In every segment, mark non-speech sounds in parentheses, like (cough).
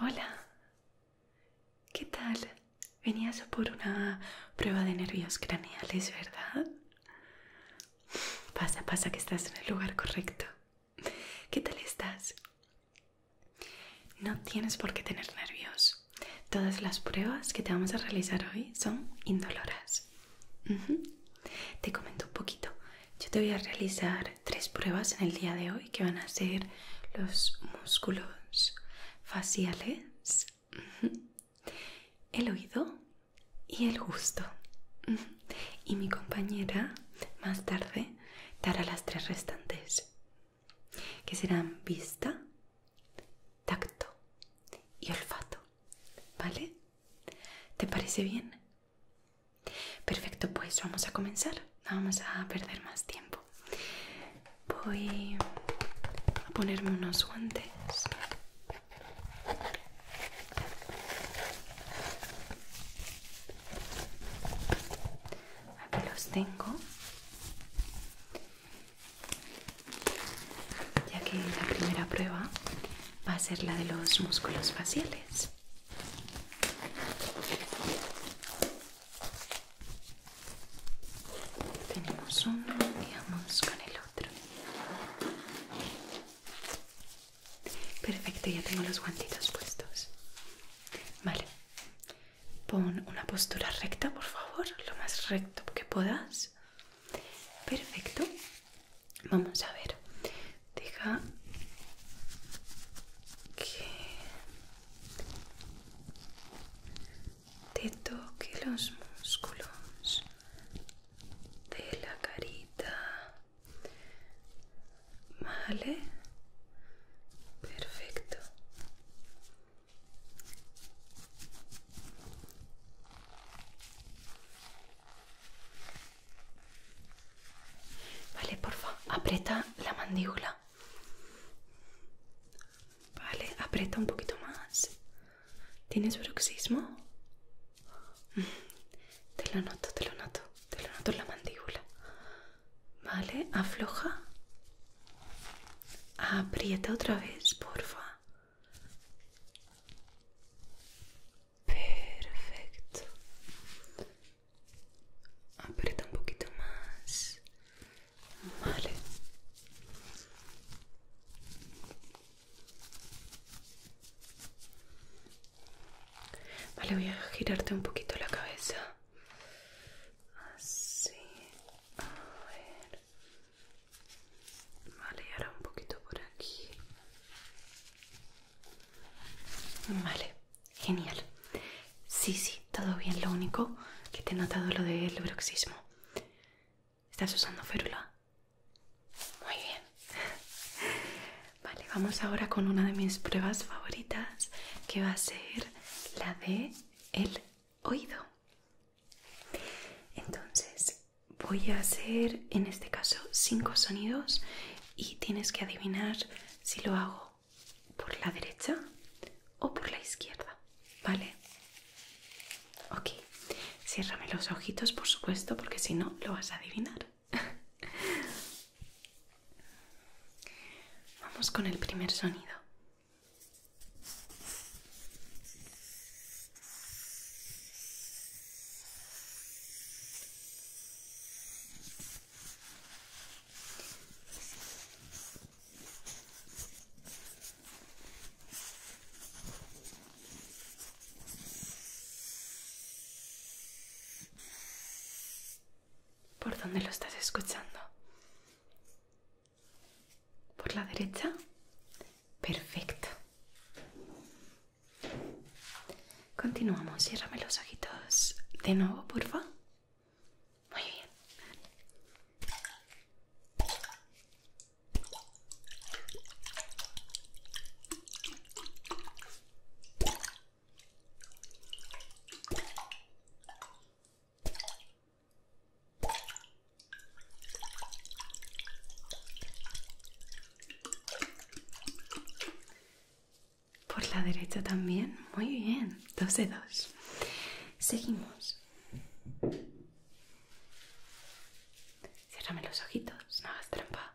Hola, ¿qué tal? Venías por una prueba de nervios craneales, ¿verdad? Pasa, pasa que estás en el lugar correcto. ¿Qué tal estás? No tienes por qué tener nervios. Todas las pruebas que te vamos a realizar hoy son indoloras. Te comento un poquito. Yo te voy a realizar tres pruebas en el día de hoy que van a ser los músculos faciales, el oído y el gusto. Y mi compañera más tarde dar a las tres restantes, que serán vista, tacto y olfato. ¿Vale? ¿Te parece bien? Perfecto, pues vamos a comenzar. No vamos a perder más tiempo. Voy a ponerme unos guantes. Aquí los tengo. Ya que la primera prueba va a ser la de los músculos faciales. Tenemos uno y vamos con el otro. Perfecto, ya tengo los guantitos puestos. Vale. Pon una postura recta, por favor, lo más recto que puedas. Perfecto. Vamos a ver. Deja que te toque los músculos de la carita Vale. Perfecto. Vale, por favor aprieta la mandíbula. Vale, aprieta un poquito más. ¿Tienes bruxismo? Mm. Te lo noto, te lo noto, te lo noto en la mandíbula. Vale, afloja. Aprieta otra vez, porfa. Perfecto. Aprieta un poquito más. Vale. Vale, voy a girarte un poquito la cabeza. Así. A ver. Vale, ahora un poquito por aquí. Vale, genial. Sí, sí, todo bien. Lo único que te he notado lo del bruxismo. ¿Estás usando férula? Muy bien. Vale, vamos ahora con una de mis pruebas favoritas, que va a ser la de el oído. Entonces, voy a hacer en este caso cinco sonidos y tienes que adivinar si lo hago por la derecha o por la izquierda, ¿vale? Ok, ciérrame los ojitos por supuesto porque si no lo vas a adivinar. (laughs) Vamos con el primer sonido. ¿Por dónde lo estás escuchando? ¿Por la derecha? Perfecto. Continuamos. Ciérrame los ojitos de nuevo, porfa. Muy bien. Por la derecha también. Muy bien. Dos dos. Seguimos. Cierrame los ojitos, no hagas trampa.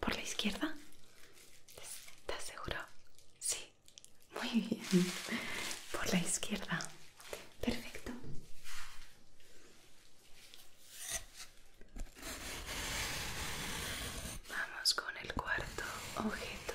¿Por la izquierda? ¿Estás seguro? Sí. Muy bien. Por la izquierda. Perfecto. Vamos con el cuarto objeto.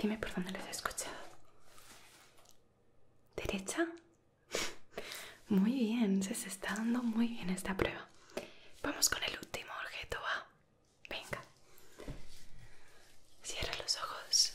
Dime por dónde les he escuchado. ¿Derecha? (laughs) Muy bien, se, está dando muy bien esta prueba. Vamos con el último objeto, va. Venga. Cierra los ojos.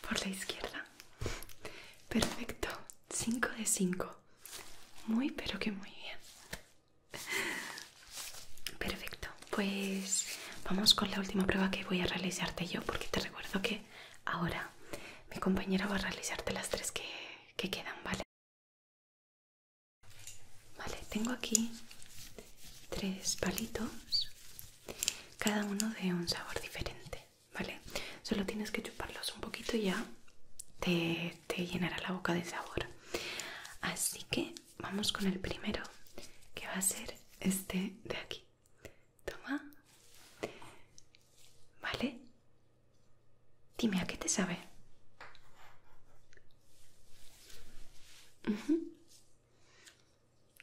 por la izquierda. Perfecto, 5 de 5. Muy, pero que muy bien. Perfecto, pues vamos con la última prueba que voy a realizarte yo, porque te recuerdo que ahora mi compañera va a realizarte las tres que, que quedan, ¿vale? Vale, tengo aquí tres palitos cada uno de un sabor diferente, ¿vale? Solo tienes que chuparlos un poquito y ya te, llenará la boca de sabor. Así que vamos con el primero, que va a ser este de aquí. Toma. ¿Vale? Dime, ¿a qué te sabe?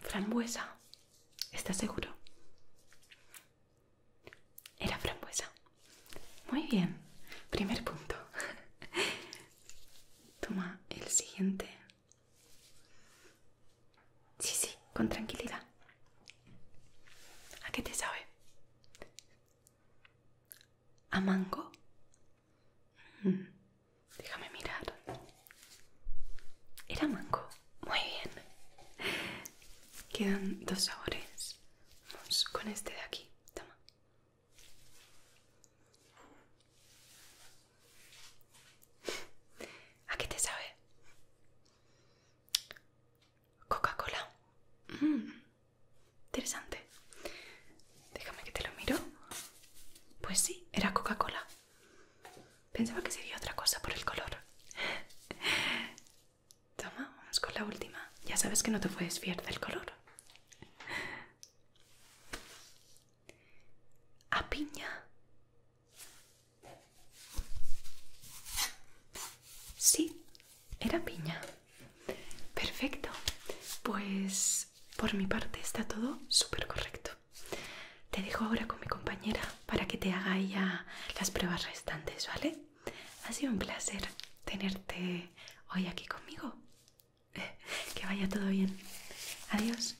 Frambuesa. ¿Estás seguro? Era frambuesa. Muy bien. Primer punto. (laughs) Toma el siguiente. Sí, sí, con tranquilidad. ¿A qué te sabe? ¿A mango? Mm. Déjame mirar. Era mango. Muy bien. Quedan dos sabores. Vamos con este de aquí. Toma. ¿A qué te sabe? Coca-Cola. Mm. interesante. Déjame que te lo miro. Pues sí, era Coca-Cola. Pensaba que sería otra cosa por el color. (laughs) Toma, vamos con la última. Ya sabes que no te puedes fiar del color. A piña. Sí, era piña. Perfecto. Pues por mi parte está todo súper correcto. Te dejo ahora con mi compañera para que te haga ya las pruebas restantes, ¿vale? Ha sido un placer tenerte hoy aquí conmigo. (laughs) Que vaya todo bien. Adiós.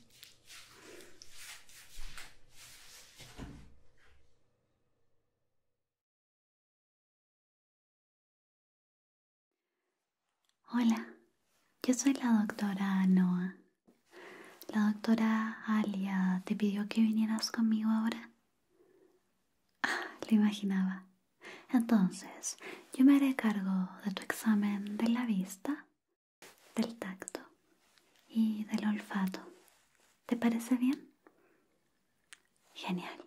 Hola, yo soy la doctora Noah la doctora Alia te pidió que vinieras conmigo ahora. Ah, lo imaginaba. Entonces, yo me haré cargo de tu examen de la vista, del tacto y del olfato. ¿Te parece bien? Genial.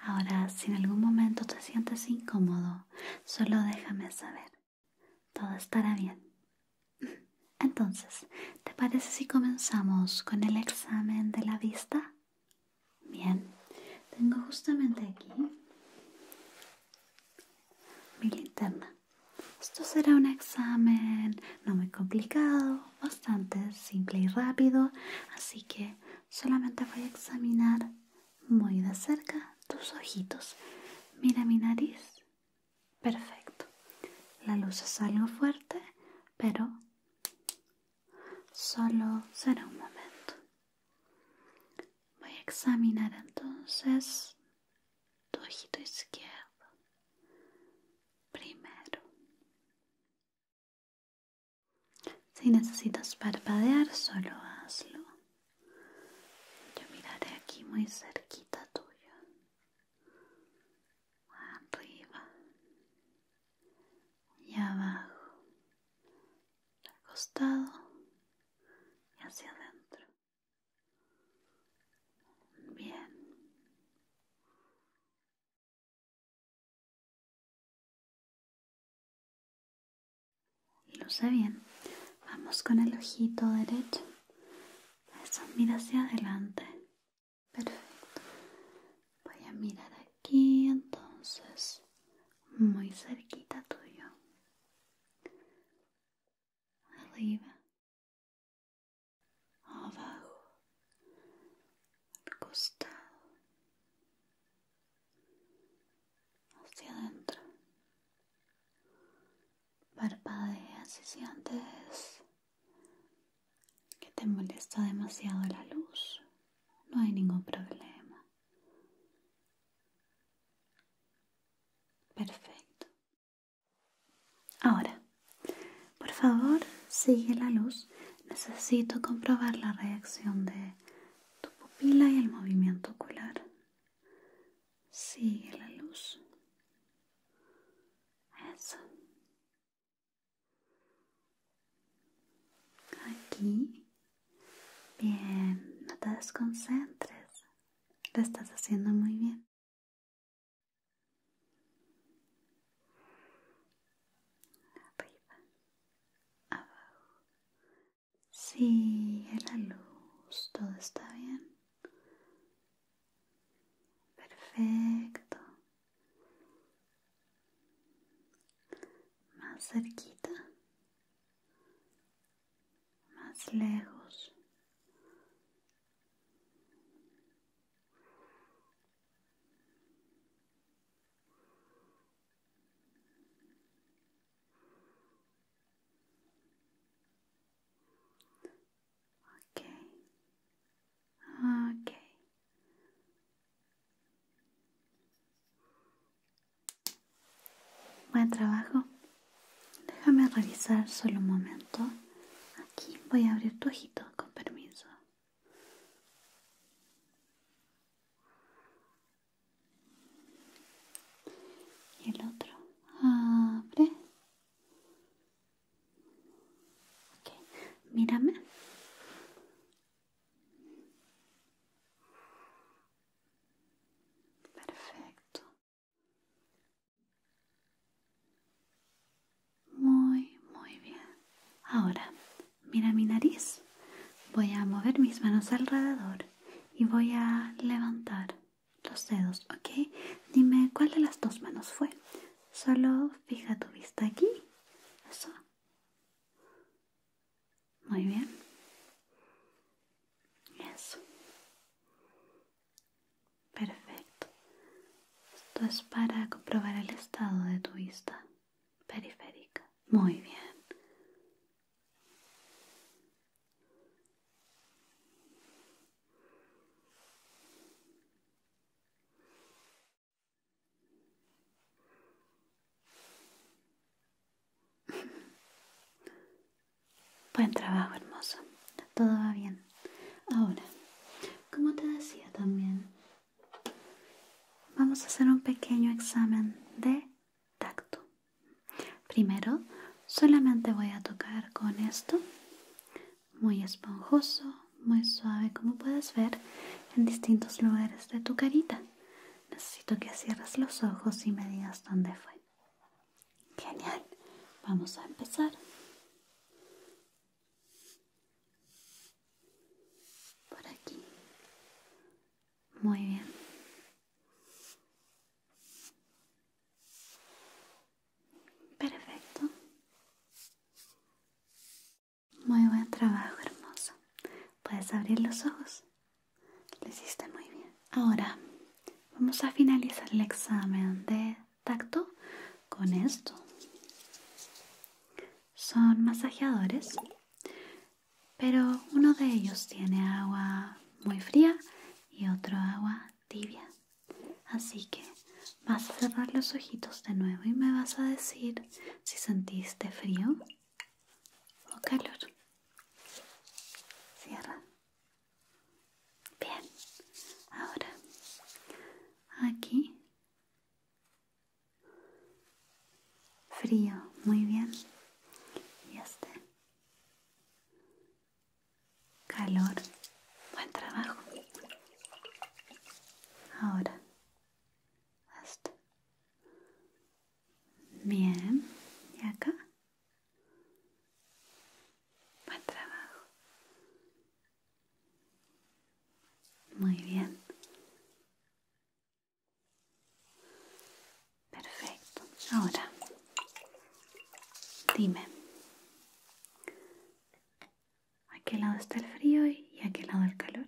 Ahora, si en algún momento te sientes incómodo, solo déjame saber todo estará bien. Entonces, ¿te parece si comenzamos con el examen de la vista? Bien, tengo justamente aquí mi linterna. Esto será un examen no muy complicado, bastante simple y rápido, así que solamente voy a examinar muy de cerca tus ojitos. Mira mi nariz Perfecto. La luz es algo fuerte, pero solo será un momento. Voy a examinar entonces tu ojito izquierdo. Primero. Si necesitas parpadear, solo hazlo. Yo miraré aquí muy cerquita tuya. Arriba y abajo. Al costado y hacia adentro. Bien sé bien. Vamos con el ojito derecho. Eso, mira hacia adelante. Perfecto. Voy a mirar aquí entonces. Muy cerquita tuyo. Arriba. Abajo. Al costado. Hacia adentro. Parpadea si sientes que te molesta demasiado la luz. No hay ningún problema. Perfecto. Ahora, por favor, sigue la luz. Necesito comprobar la reacción de tu pupila y el movimiento ocular. Sigue la luz. Eso. Aquí. Bien, no te desconcentres. Lo estás haciendo muy bien. Abajo. Si la luz, todo está bien. Perfecto. Más cerquita. Más lejos. Buen trabajo. Déjame realizar solo un momento. Aquí voy a abrir tu ojito, con permiso y el otro abre mírame perfecto muy muy bien ahora mira mi nariz voy a mover mis manos alrededor y voy a levantar los dedos, ¿ok? Dime cuál de las dos manos fue. Solo fija tu vista aquí. Eso. Muy bien. Eso. Perfecto. Esto es para comprobar el estado de tu vista periférica. Muy bien. Buen trabajo, hermoso. Todo va bien. Ahora, como te decía también, vamos a hacer un pequeño examen de tacto. Primero solamente voy a tocar con esto, muy esponjoso, muy suave como puedes ver en distintos lugares de tu carita. Necesito que cierres los ojos y me digas dónde fue. Genial, vamos a empezar. Por aquí. Muy bien. Perfecto. Muy buen trabajo, hermoso. Puedes abrir los ojos. Lo hiciste muy bien. Ahora vamos a finalizar el examen de tacto con esto. Son masajeadores pero uno de ellos tiene agua muy fría y otro agua tibia. Así que vas a cerrar los ojitos de nuevo y me vas a decir si sentiste frío o calor. Cierra. Bien. Ahora, aquí. Frío, muy bien. Y este. Calor. Buen trabajo. Ahora. Hasta. Bien. ¿Y acá? Buen trabajo. Muy bien. Perfecto. Ahora, dime, ¿a qué lado está el frío y a qué lado el calor?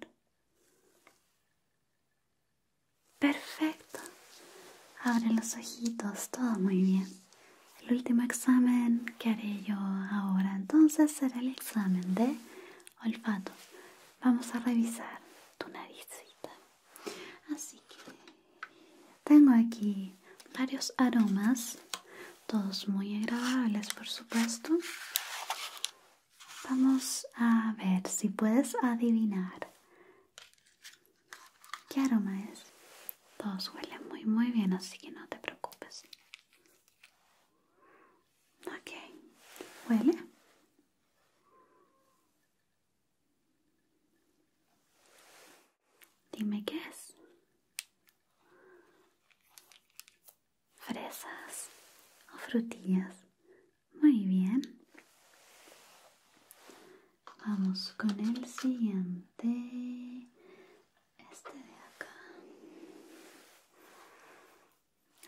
Perfecto. Abre los ojitos, todo muy bien. El último examen que haré yo ahora entonces será el examen de olfato. Vamos a revisar tu narizcita. Así que tengo aquí varios aromas, todos muy agradables por supuesto. Vamos a ver si puedes adivinar qué aroma es. Todos huelen muy muy bien, así que no te preocupes. Ok, huele. Dime qué es. Fresas o frutillas. Muy bien. Vamos con el siguiente. Este de acá.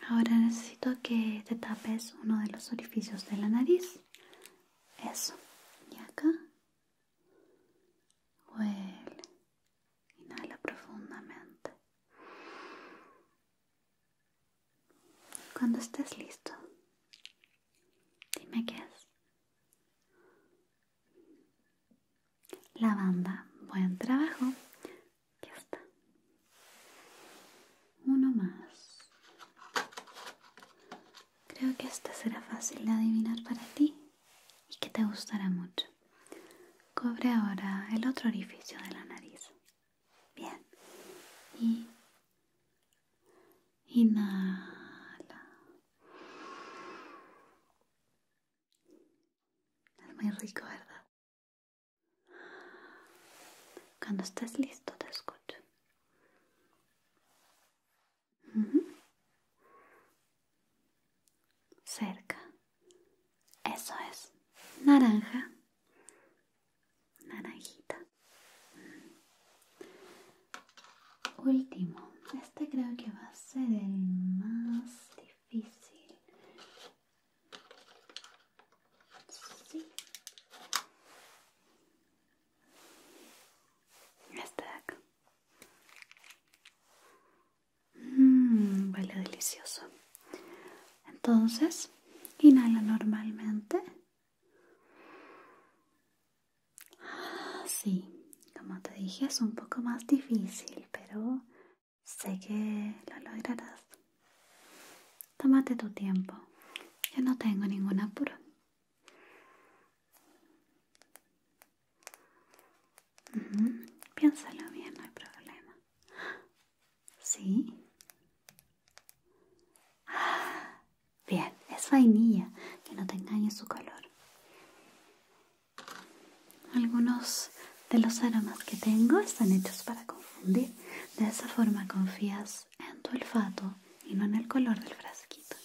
Ahora necesito que te tapes uno de los orificios de la nariz. Eso. Y acá. Huele. Inhala profundamente. Cuando estés listo, dime qué es. Lavanda. Buen trabajo. Ya está. Uno más. Creo que esta será fácil de adivinar para ti y que te gustará mucho. Cobre ahora el otro orificio de la nariz. Bien. Y inhala. Es muy rico, ¿verdad? Cuando estés listo te escucho. Cerca. Eso es. Naranja. Naranjita. Último. Este creo que va a ser el más difícil este de acá. Mmm, huele delicioso. Entonces, inhala normalmente. Ah, Sí, como te dije, es un poco más difícil, pero sé que lo lograrás. Tómate tu tiempo. Yo no tengo ninguna apuro. Piénsalo bien, no hay problema. ¿Sí? (gasps) bien, es vainilla, que no te engañe su color. Algunos de los aromas que tengo están hechos para confundir. De esa forma confías en tu olfato y no en el color del frasquito.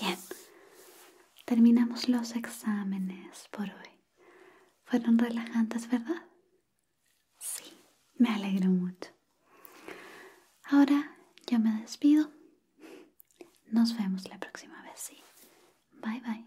Bien, terminamos los exámenes por hoy. Fueron relajantes, ¿verdad? Sí, me alegro mucho. Ahora yo me despido. Nos vemos la próxima vez, sí. Bye bye.